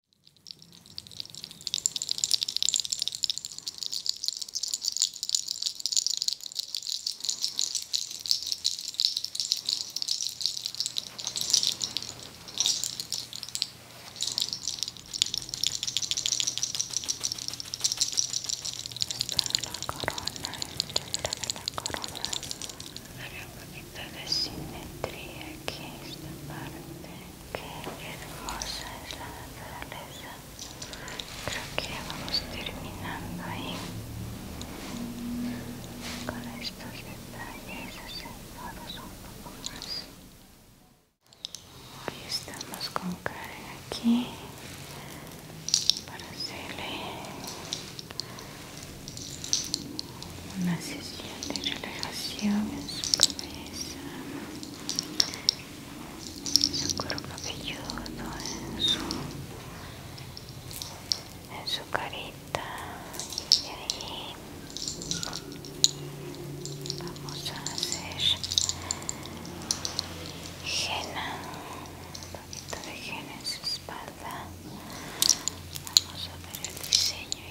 la corona, de la corona. La un poquito de simetría aquí, esta parte. Qué hermosa es la naturaleza. Creo que vamos terminando ahí con estos detalles, asentados un poco más. Hoy estamos con Karen aquí para hacerle una sesión de relajación en su cabeza, en su cuerpo velludo, en su, en su carita y ahí vamos a hacer henna, un poquito de henna en su espalda. Vamos a ver el diseño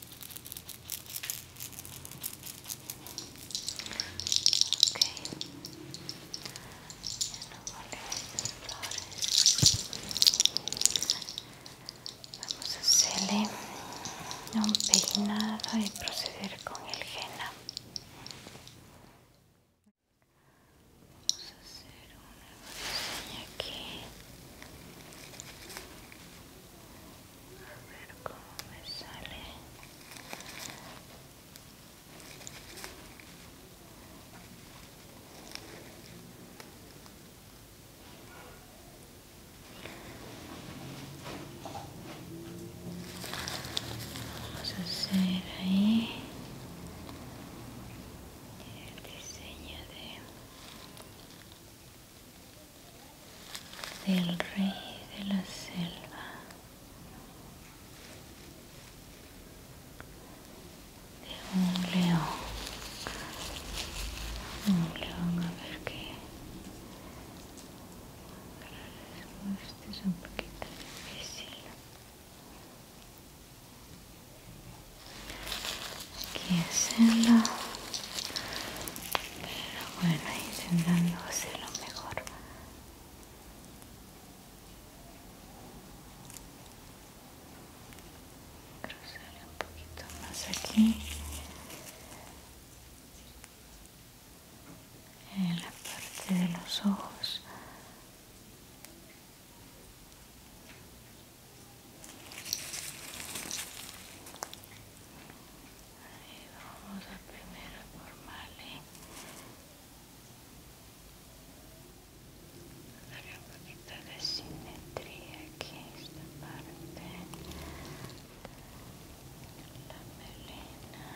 Vamos a hacerle un peinado y proceder con el henna. Vamos a hacer una diseño aquí a ver cómo me sale vamos a hacer ahí el diseño de del rey de la selva, de un león, un león a ver qué, este es un poquito difícil. Aquí hacerlo bueno intentando hacer lo mejor cruzarle un poquito más aquí en la parte de los ojos Ahí vamos a primero formarle darle un poquito de simetría aquí esta parte la melena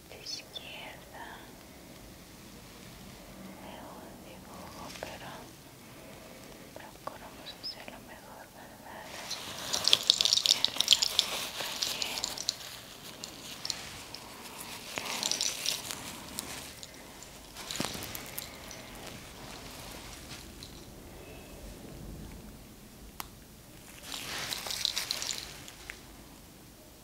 de izquierda de un dibujo pero procuramos hacerlo mejor verdad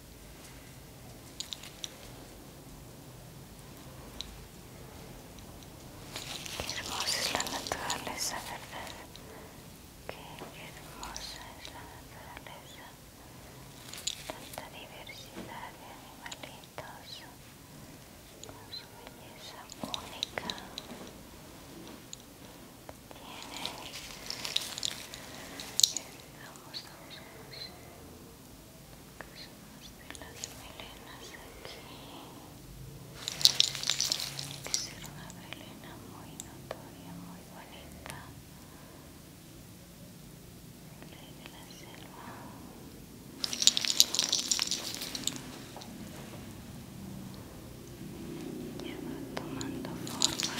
Qué hermosa es la naturaleza, ¿verdad? Qué hermosa es la naturaleza. Tanta diversidad de animalitos con su belleza única. Tiene. qué Cosas de las melenas aquí. Tiene que ser una melena muy notoria, muy bonita. Rey de la selva. Ya va tomando forma. Va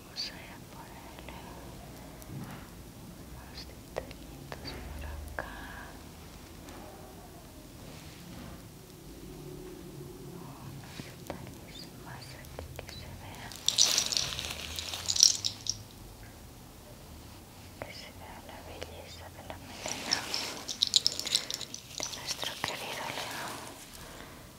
vamos a ponerle unos detallitos por acá unos detalles más aquí que se vean que se vea la belleza de la melena de nuestro querido león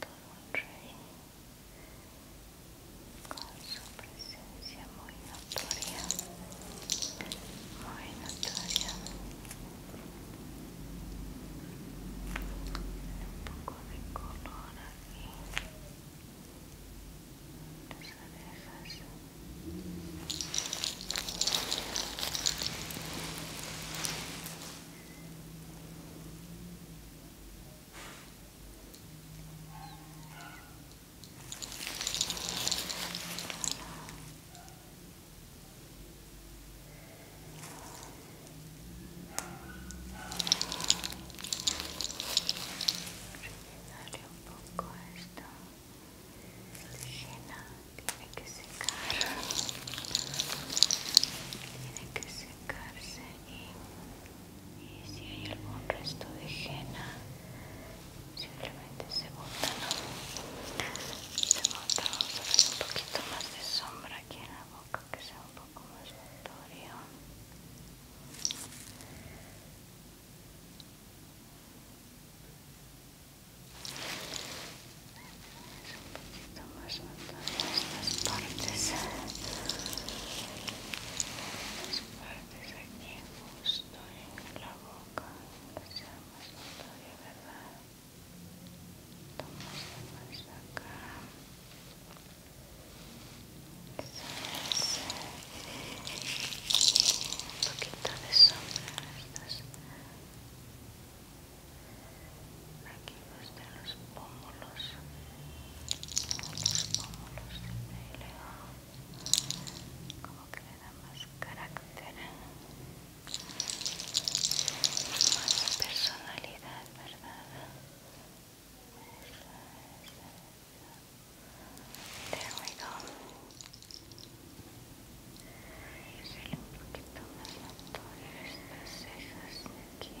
todo rey con su presencia muy notoria muy notoria un poco de color aquí las orejas Muy um pouco esta resina, tiene que secar, tiene que secar. y, si hay algún resto de henna simplemente se bota se bota vamos a un poquito más de sombra aquí en la boca que sea un poco más notorio un poquito más notando estas partes estas partes aquí justo en la boca que sea más notorio verdad tomamos más acá eso es un poquito de sombra estas aquí los de los pómulos los pómulos del como que le da más carácter más personalidad verdad There we go. Y sale un poquito más la estas cejas de aquí.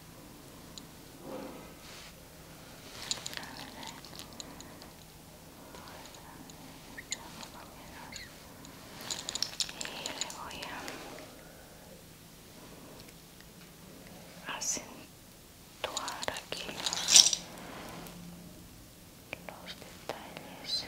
y le voy a acentuar aquí los, detalles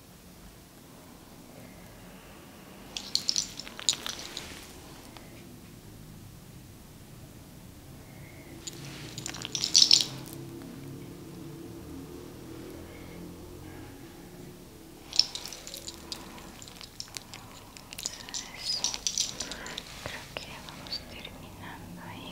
eso, creo que vamos terminando ahí